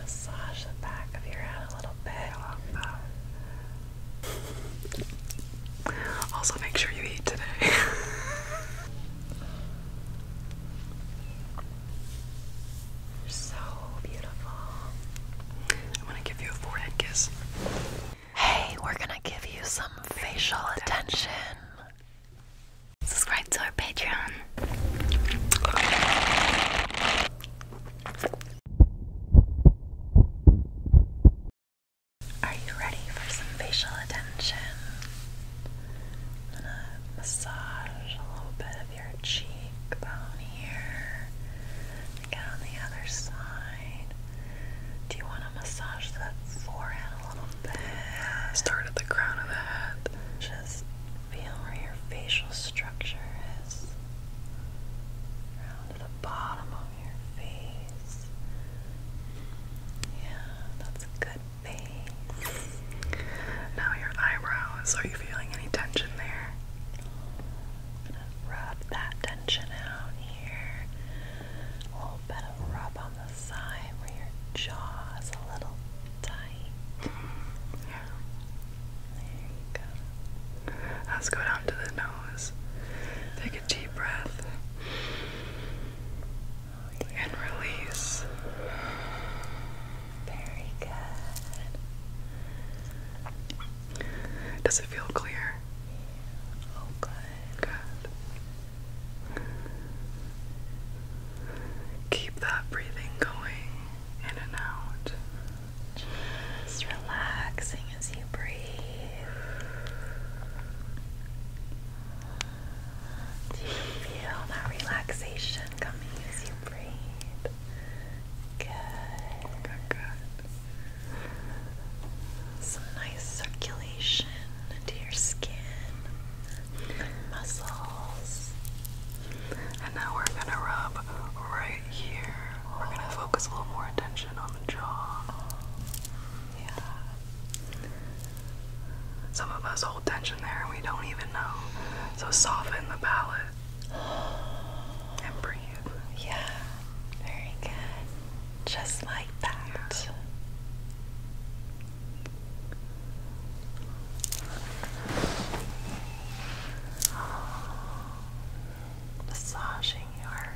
massage the back of your head a little bit. Also, make sure you eat today. You're so beautiful. I'm gonna give you a forehead kiss. Hey, we're gonna give you some facial attention subscribe to our Patreon. Are you ready for some facial attention? gonna massage a little bit of your cheekbone here. Again on the other side. Do you want to massage that forehead a little bit? Start at the crown of the head. Just Feel where your facial structure is. Around the bottom of your face. Yeah, that's a good face. Now your eyebrows. Are you feeling any tension there? gonna rub that tension out here. A little bit of rub on the side where your jaw is a little tight. Yeah. There you go. Let's go down to the nose. Take a deep breath and release. Very good. Does it feel clear? Yeah. Oh, good. Good. Keep that breathing going in and out. Just relaxing as you breathe. Do you feel that relaxation coming as you breathe? Good. Good, good. Some nice circulation into your skin muscles. And now we're gonna rub right here. We're gonna focus a little more attention on the jaw. Yeah. Some of us hold tension there and we don't even know. So soften the palate. And breathe. Yeah. Very good. Just like that. Massaging your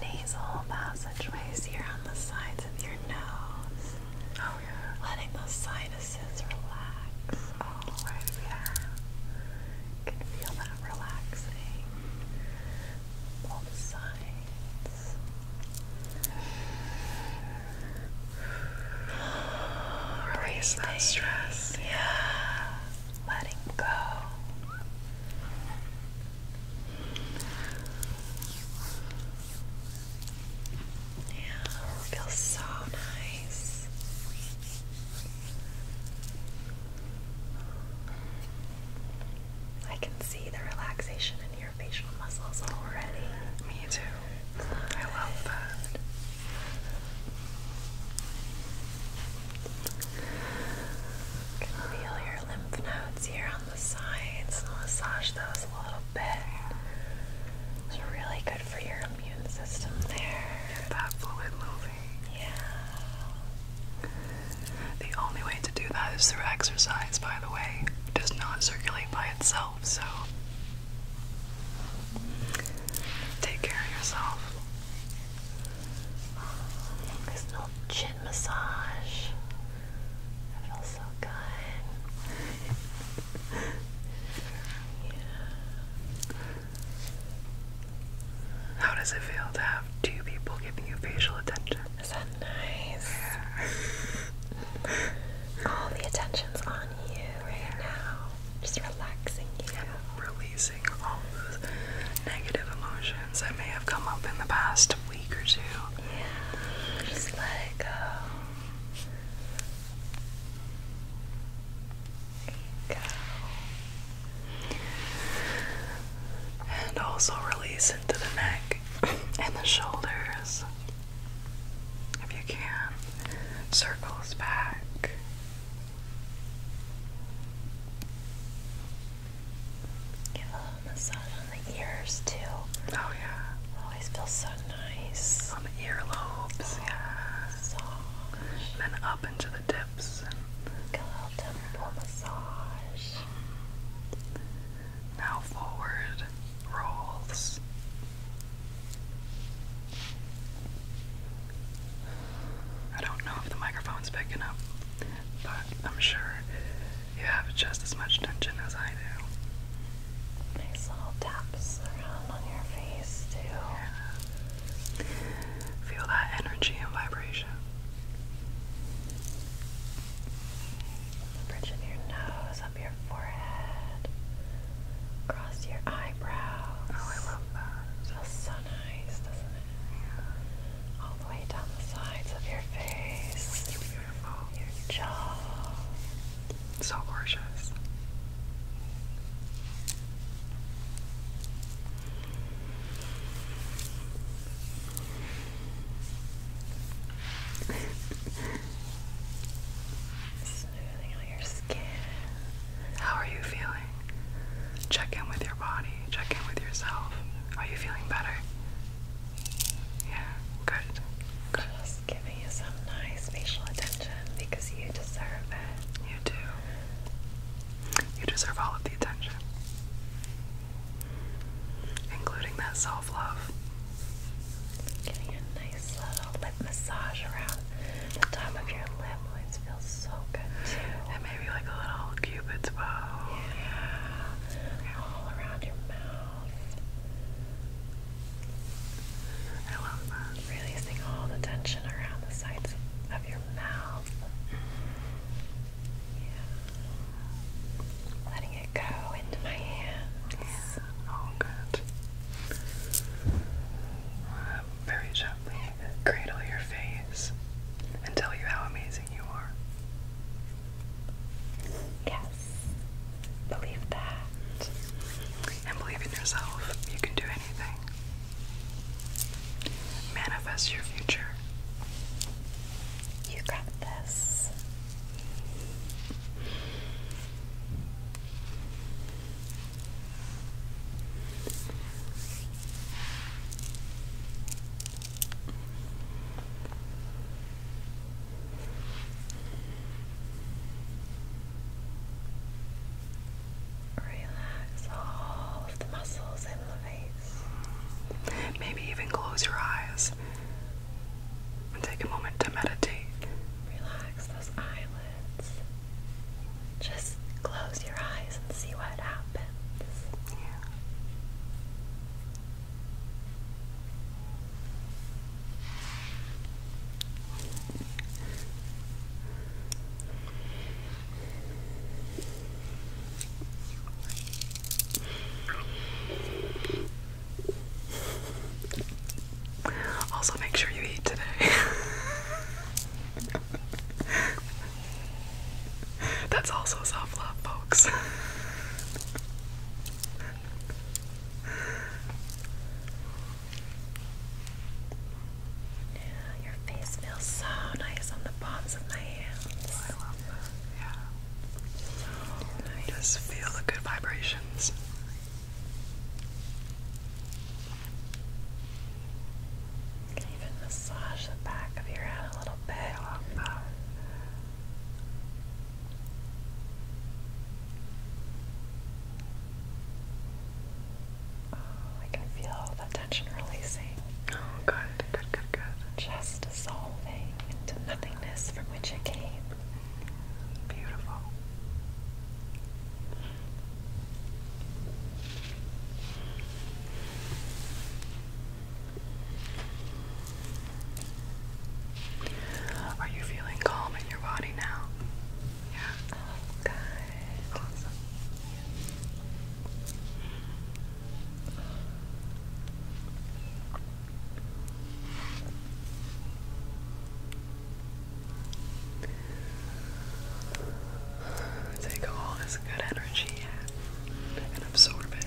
nasal passageways here on the sides of your nose. Oh, Letting those sinuses relax. Oh, You feel that relaxing. Both sides. Release that stress. Yeah. Letting go. Yeah, feels so nice. I can see the relaxation in your your facial muscles already. Me too. I love that. can feel your lymph nodes here on the sides. massage those a little bit. It's really good for your immune system there. Get that moving. Yeah. The only way to do that is through exercise, by the way. does not circulate by itself, so take care of yourself. Nice little chin massage. I feel so good. yeah. How does it feel to have two people giving you facial attention? Is that nice? All the attention's on you right now. Just relaxing you. releasing all those negative emotions that may have come up in the past week or two. Yeah. Just let go. go and also release into the neck and the shoulders if you can. Circles back. Give a little massage on the ears too. Oh yeah. Always feels so nice. On the earlobes, oh, yeah. Soft. And then up into the tips temple massage. Now forward rolls. I don't know if the microphone's picking up, but I'm sure you have just as much tension as I do. Nice little taps around on your face, too. Feel that energy and vibration. bridge of your nose, up your forehead, across your eyebrows. Oh, I love that. Feels so nice, doesn't it? Yeah. All the way down the sides of your face. It's beautiful. Your jaw. So gorgeous. How are you feeling? Check in with your body, check in with yourself. Are you feeling better? Yeah, Good. Just giving you some nice facial attention because you deserve it. You do. You deserve all of the attention, including that self love. Getting a nice little lip massage around the top of your lip always feels so good, too. And maybe like a little cupid's bow. yeah. All around your mouth. I love that. Releasing all the tension around the sides of your your Yeah. Letting it go into my hands. Oh, good. Uh, very gently cradle your face and tell you how amazing you are. Yes. Believe that and believe in yourself. You can do anything. Manifest your future. You got this. Relax all of the muscles in the face. Maybe even close your eyes and take a moment to meditate. Relax those eyelids. Just close your eyes and see what happens. Yeah. Also, make sure you eat today. That's also self love, folks. Yeah, your face feels so nice on the palms of my hands. Oh, I love that. Yeah. Just oh, feel the good vibrations. can even massage the back of your head a little bit. Oh, I can feel the tension releasing. Oh, good, good, good, good. Just dissolving into nothingness from which it came. Beautiful. Are you feeling calm in your body now? Yeah. Okay. Awesome. Take all this good energy and absorb it.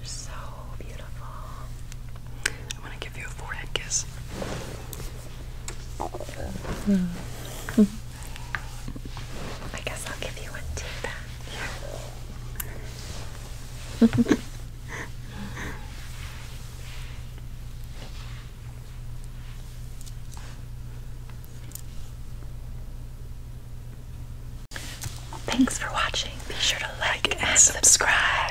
You're so beautiful. I'm gonna give you a forehead kiss. I guess I'll give you one too then. Thanks for watching. Be sure to like, and subscribe.